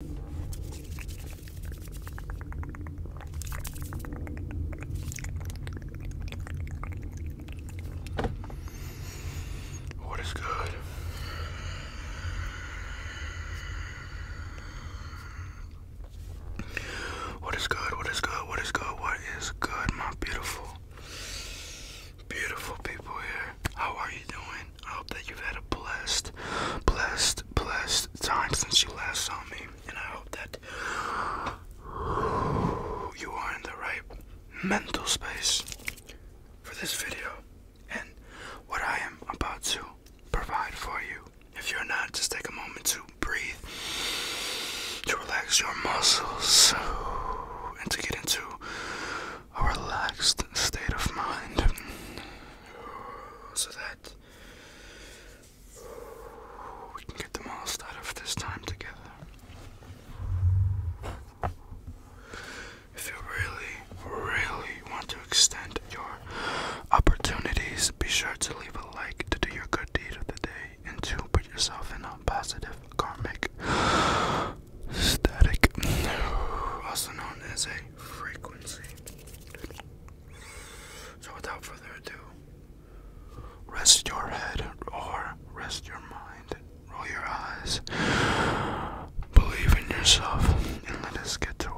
What is good? What is good? What is good? What is good? What is good, my beautiful, beautiful people here? How are you doing? I hope that you've had a blessed, blessed, blessed time since you last saw me. And I hope that you are in the right mental space for this video and what I am about to provide for you. If you're not, just take a moment to breathe, to relax your muscles, and to get into a relaxed state of mind so that we can get the most out of this time together. If you really, really want to extend your opportunities, be sure to leave a like to do your good deed of the day and to put yourself in a positive karmic static, also known as a frequency. So, without further ado, rest your head or rest your mind, roll your eyes, believe in yourself, and let us get to work.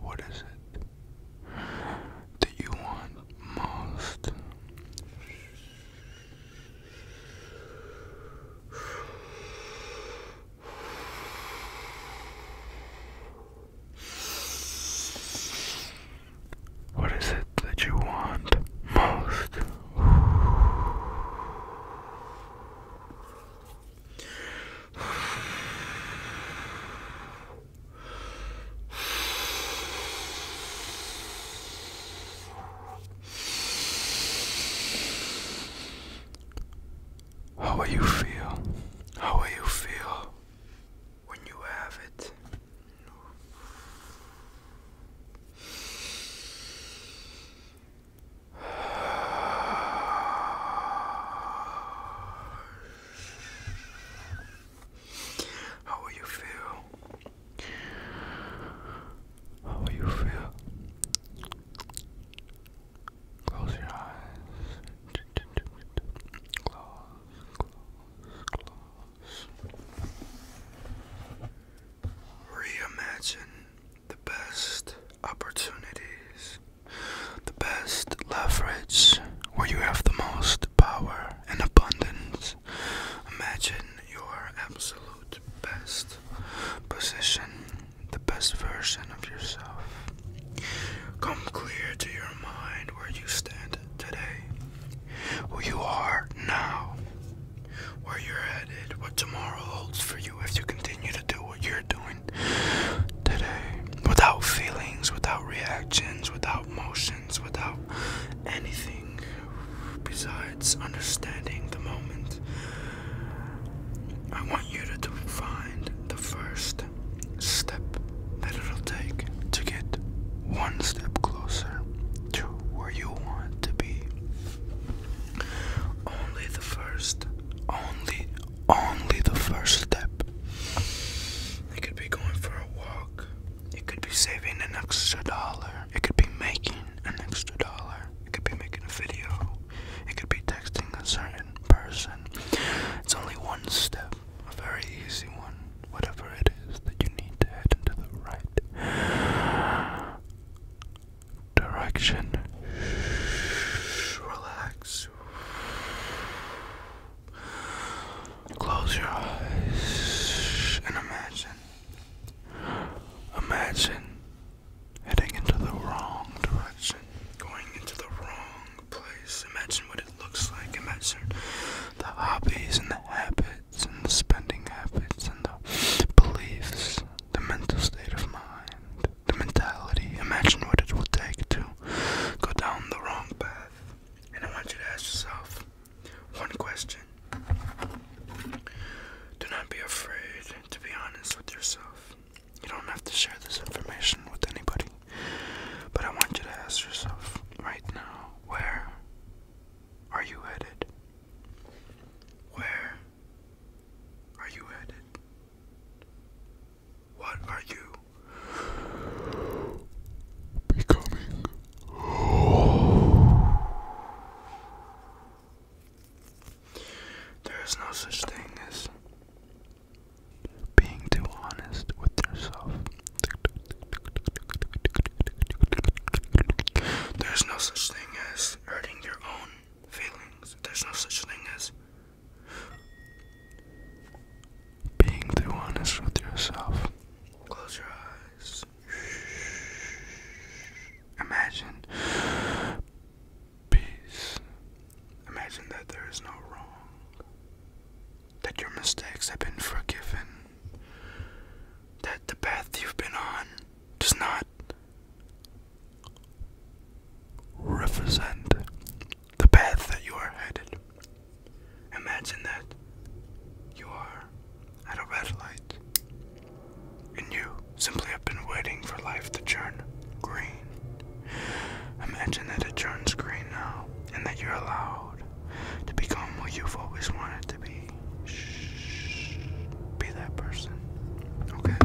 What is it? do you want most? What is it that you want most? How will you feel? How will you feel when you have it? How will you feel? How will you feel? Close your eyes. Close, close, close. Reimagine the best opportunities, the best leverage where you have the most power and abundance. Imagine your absolute best position, the best version of yourself. Come clear to your mind where you stand today, who you are now, where you're headed, what tomorrow holds for you if you continue to do what you're doing today, without feelings, without reactions, without. Emotions without anything besides understanding the moment. I want you to find the first step that it'll take to get one step closer to where you want to be. Only the first, only, only the first step. It could be going for a walk. It could be saving an extra dollar. It could be making an extra dollar. It could be making a video. It could be texting a certain person. It's only one step, a very easy one. Whatever it is that you need to head into the right direction. Relax. Close your eyes and imagine. Imagine heading into the wrong direction, going into the wrong place. Imagine what it looks like. Imagine the hobbies and the habits and the spending habits and the beliefs, the mental state of mind, the mentality. Imagine what it will take to go down the wrong path. And I want you to ask yourself one question. Do not be afraid to be honest with yourself. You don't have to share this information with anybody. But I want you to ask yourself right now where are you headed? Where are you headed? What are you becoming? There is no such thing as being too honest with yourself. There's no such thing as hurting your own feelings. There's no such thing as being too honest with yourself. Close your eyes. Imagine peace. Imagine that there is no wrong. That your mistakes have been forgiven. That the path you've been on does not represent the path that you are headed. Imagine that you are at a red light and you simply have been waiting for life to turn green. Imagine that it turns green now and that you're allowed to become what you've always wanted to be. Shh, be that person, okay?